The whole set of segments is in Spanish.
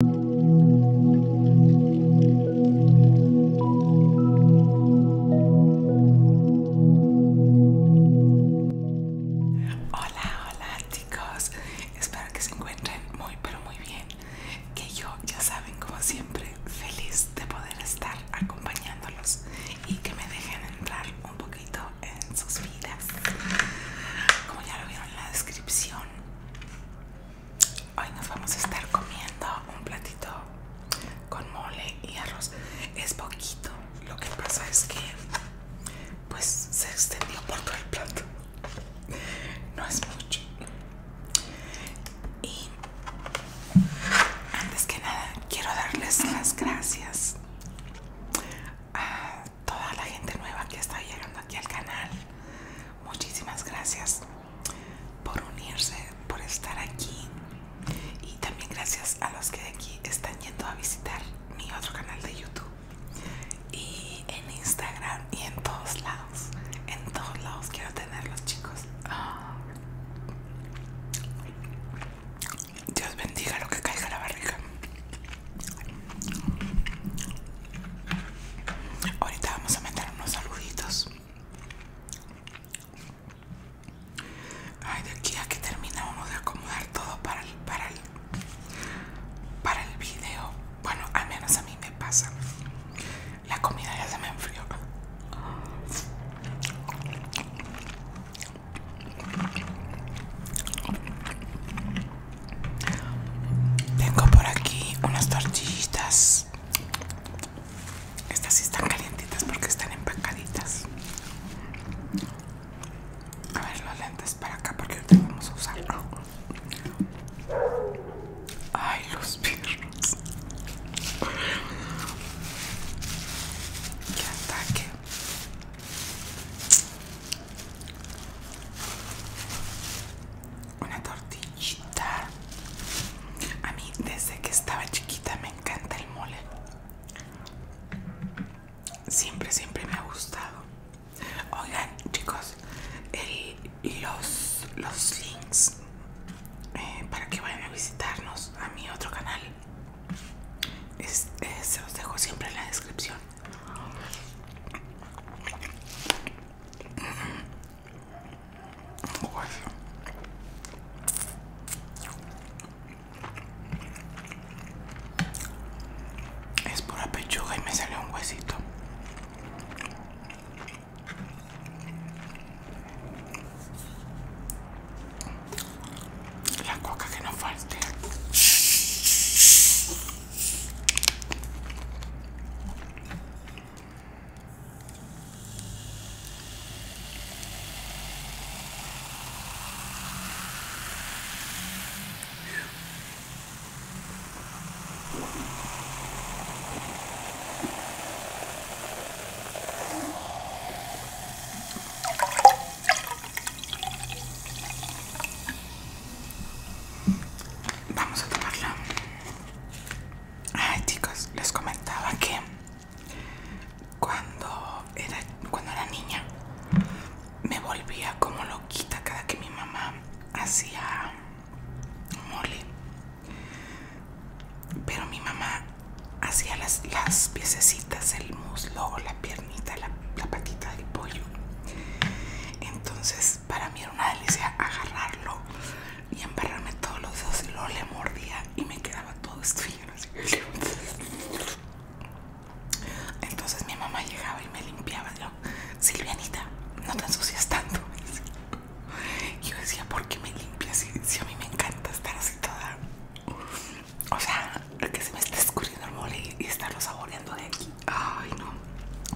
Hola, hola chicos, espero que se encuentren muy pero muy bien, que yo ya saben como siempre feliz de poder estar acompañándolos y que me dejen entrar un poquito en sus vidas. Como ya lo vieron en la descripción, Hoy nos vamos a estar comiendo un platito con mole y arroz. Es poquito. Lo que pasa es que pues se extendió por todo el plato. No es mucho. Y antes que nada quiero darles las gracias toda la gente nueva que está llegando aquí al canal. Muchísimas gracias por unirse, por estar aquí. Y también gracias a los que de aquí están yendo a visitar mi otro canal de YouTube. Y en Instagram y en todos lados. En todos lados quiero tenerlos chicos. Ah. Dios bendiga lo que caiga la barriga. Ahorita vamos a meter unos saluditos. Ay, de aquí a que terminamos de acomodar todo para el, para el, para el video. Bueno, al menos a mí me pasa. La comida ya se me enfrió. Tengo por aquí unas tortillitas. Estas sí están calientitas porque están empacaditas. A ver los lentes para acá porque ahorita vamos a usarlo. Ay, los perros. Qué ataque. Una tortillita. A mí desde que estaba chiquita me encanta el mole. Siempre, siempre me ha gustado. Oigan, chicos, los, los links eh, para que vayan a visitarnos a mi otro canal eh, se los dejo siempre en la descripción. Es pura pechuga y me salió un huesito. La coca que no falte. Vamos a tomarla. Ay, chicos, les comentaba que cuando era, cuando era niña me volvía como loquita cada que mi mamá hacía mole. Pero mi mamá hacía las, las piececitas, el muslo o la pierna la, patita del pollo. Entonces, para mí era una delicia agarrarlo y embarrarme todos los dedos y lo le mordía y me quedaba todo esto Entonces mi mamá llegaba y me limpiaba. Yo, Silvianita, no te ensucias tanto. Y yo decía, ¿por qué me limpias? si a mí me encanta estar así toda o sea, que se me está escurriendo el mole y estarlo saboreando de aquí. Ay, no.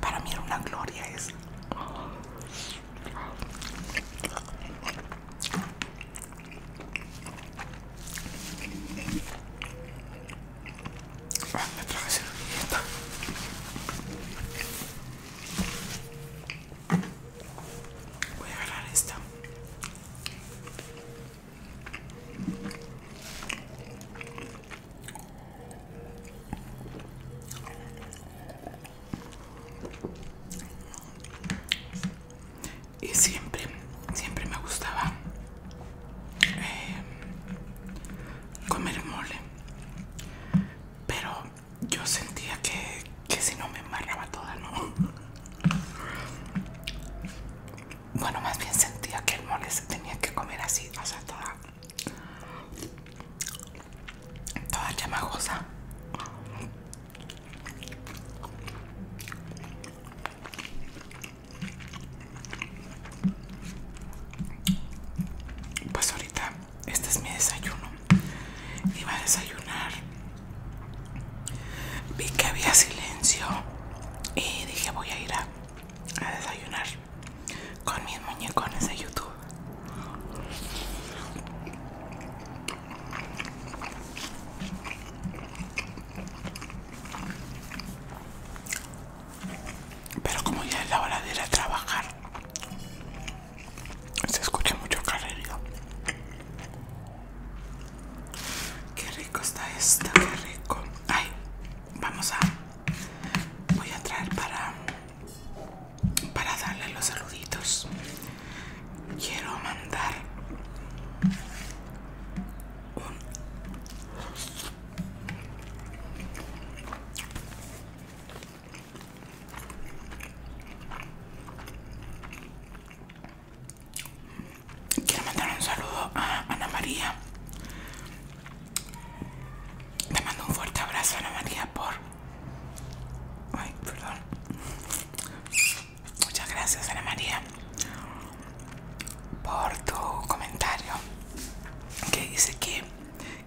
Para mí era una gloria eso. Ah, me traje Voy a agarrar esta. Y siempre, siempre me gustaba eh, comer mole. Pero yo sentía que, que si no me embarraba toda, ¿no? Bueno, más bien sentía que el mole se tenía que comer así, o sea, toda, toda chamagosa. Pues ahorita este es mi desayuno. Iba a desayunar Vi que había silencio y dije voy a ir a, desayunar con mis muñecones de YouTube. Pero como ya es la hora de ir a trabajar, se escucha mucho carrerío. Qué rico está esto, qué rico. Ay, vamos a. Voy a traer para. Para darle los saluditos. Quiero mandar. Un. Quiero mandar un saludo a Ana María. Te mando un fuerte abrazo, Ana María, por. Ay, perdón. Muchas gracias, Ana María, por tu comentario que dice que,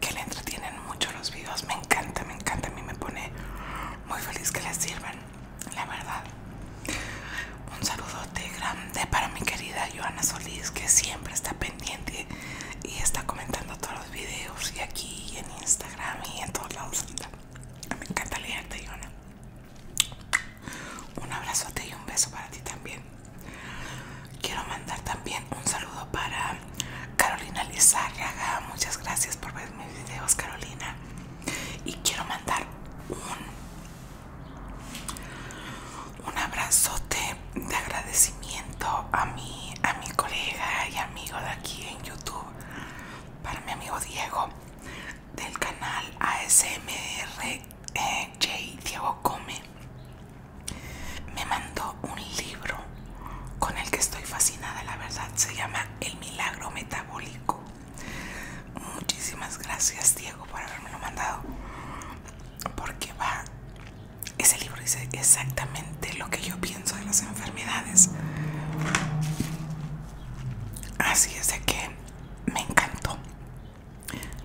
que le entretienen mucho los videos. Me encanta, me encanta. A mí me pone muy feliz que les sirvan, la verdad. Un saludote grande para mi querida Joana Solís, que siempre está pendiente y está comentando todos los videos, y aquí, en Instagram, y en todos lados. Me encanta leerte, Joana. Un abrazote y un beso para ti también. Quiero mandar también un saludo para Carolina Lizárraga, muchas gracias por ver mis videos, Carolina. Y quiero mandar un, un abrazote de agradecimiento a mi, a mi colega y amigo de aquí en YouTube, para mi amigo Diego, del canal ASMRJ eh, Diego Come. Me mandó un libro con el que estoy fascinada, la verdad, se llama El Milagro Metabólico. Muchísimas gracias, Diego, por haberme lo mandado. Porque va, ese libro dice exactamente lo que yo pienso de las enfermedades. Así es de que me encantó.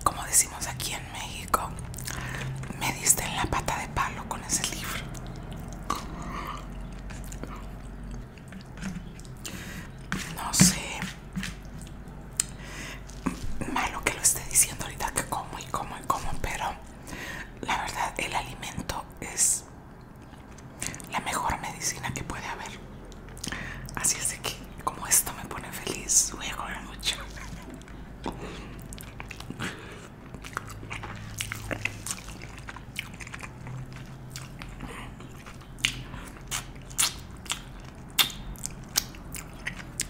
Como decimos aquí en México, me diste en la pata de palo con ese libro. No sé. Malo que lo esté diciendo ahorita que como y como y como, pero la verdad el alimento es la mejor medicina que puede haber. Así es que como esto me pone feliz, voy a comer mucho.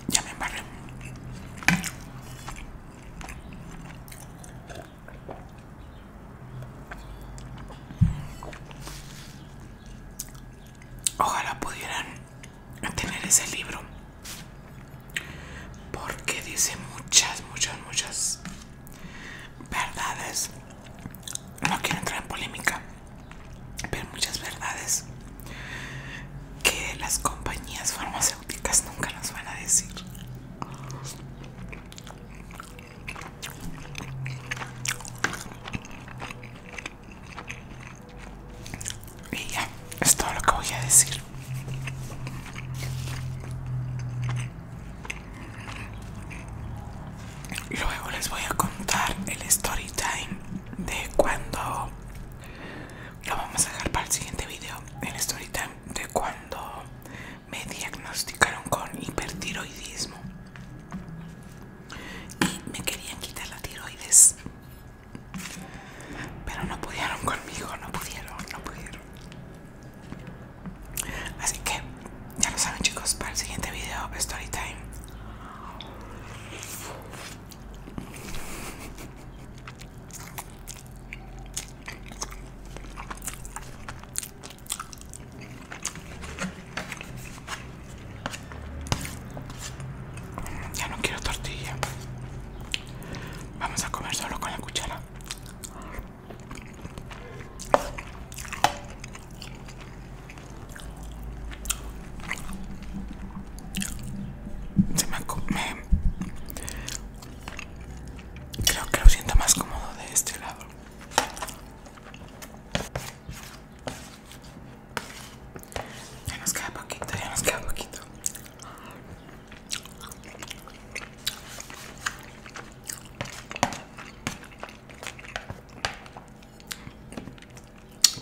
Ya me embarré. Ojalá pudieran tener ese libro porque dice muchas, muchas, muchas verdades. No quiero entrar en polémica, pero muchas verdades que las compañías farmacéuticas nunca nos van a decir. Y ya, es todo lo que voy a decir. Luego les voy a contar el story time de cuando lo vamos a dejar para el siguiente video. El story time de cuando me diagnosticaron con hipertiroidismo y me querían quitar la tiroides pero no pudieron conmigo, no pudieron, no pudieron. Así que, ya lo saben chicos, para el siguiente video, story time. Ya no quiero tortilla. Vamos a comer solo con la cuchara. Se me, creo que lo siento más cómodo de este lado. Ya nos queda poquito, ya nos queda poquito.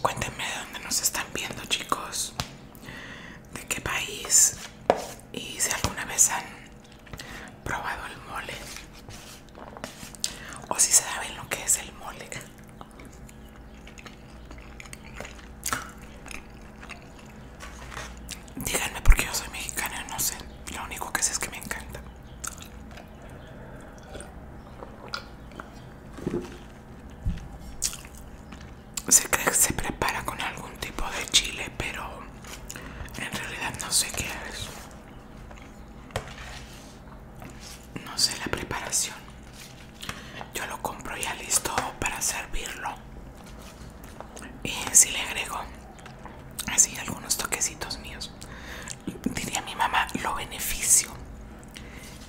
Cuéntenme de dónde nos están viendo, chicos. De qué país. Y si alguna vez han probado el mole. O si saben lo que es el mole. Díganme por qué yo soy mexicana no sé. Lo único que sé es que me encanta. Se cree que se prepara con algún tipo de chile, pero en realidad no sé qué es no sé la preparación. Yo lo compro ya listo para servirlo. Y si le agrego así algunos toquecitos míos, diría mi mamá, lo beneficio.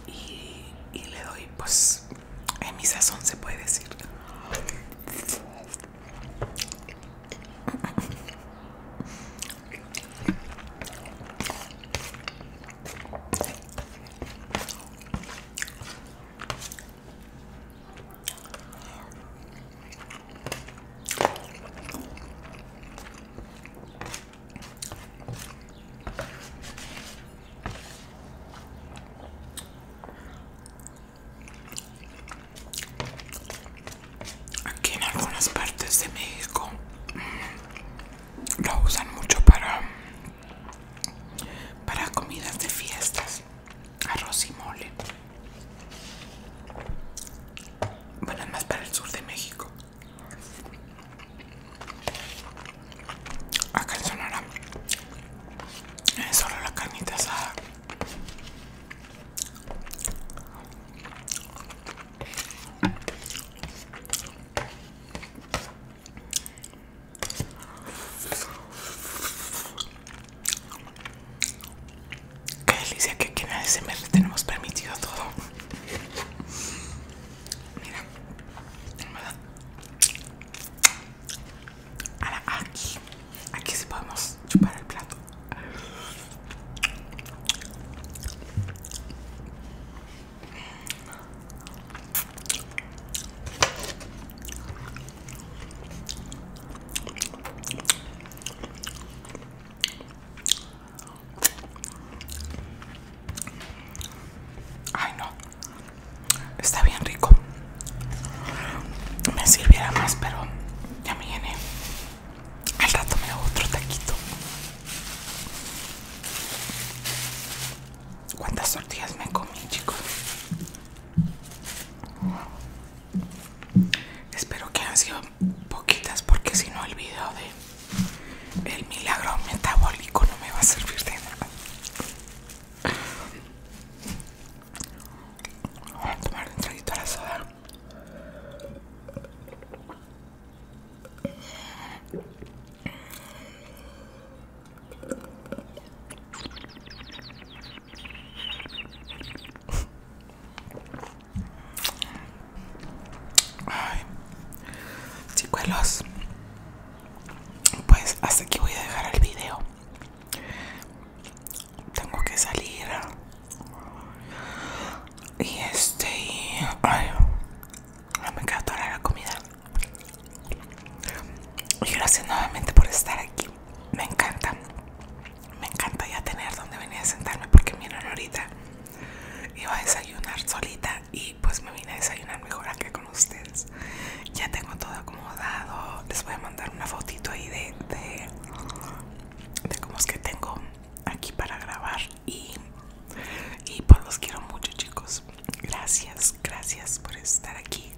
Y, le doy, pues, en mi sazón se puede decir. Aquí en algunas partes de México lo usan mucho para para comidas de fiestas arroz y mole bueno es más para el sur de México acá en Sonora eh, solo la carnita asada Qué delicia que aquí en le tenemos permitido todo. Mira, ¿verdad? Ahora aquí, aquí sí podemos chupar el plato. Ay, no. Está bien rico. Me sirviera más, pero ya me llené. Al rato me hago otro taquito. ¿Cuántas tortillas me comí, chicos? Espero que han sido poquitas porque si no el video de el milagro metabólico no me va a servir de nada. Voy a tomar un traguito a la soda. Ay, chicuelos, pues hasta aquí voy a dejar el video. Tengo que salir y este. Ay, me encanta la comida. Y gracias nuevamente por estar aquí. Me encanta. Me encanta ya tener donde venir a sentarme porque miren ahorita iba a desayunar solita y pues me vine a desayunar mejor aquí con ustedes. Ya tengo todo acomodado. Les voy a mandar una fotito ahí de, de, de cómo es que tengo aquí para grabar y, y pues los quiero mucho chicos. Gracias, gracias por estar aquí.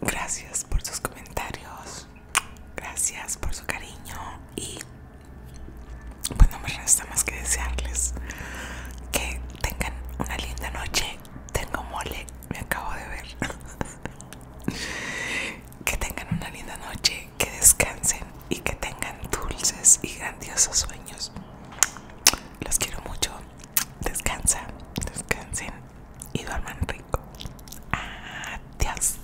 Gracias por sus comentarios. Gracias por su cariño. Y pues no me resta más que desearles que tengan una linda noche. Tengo mole, me acabo de ver. Que tengan una linda noche, que descansen y que tengan dulces y grandiosos sueños. Los quiero mucho. Descansa, descansen y duerman rico. Adiós.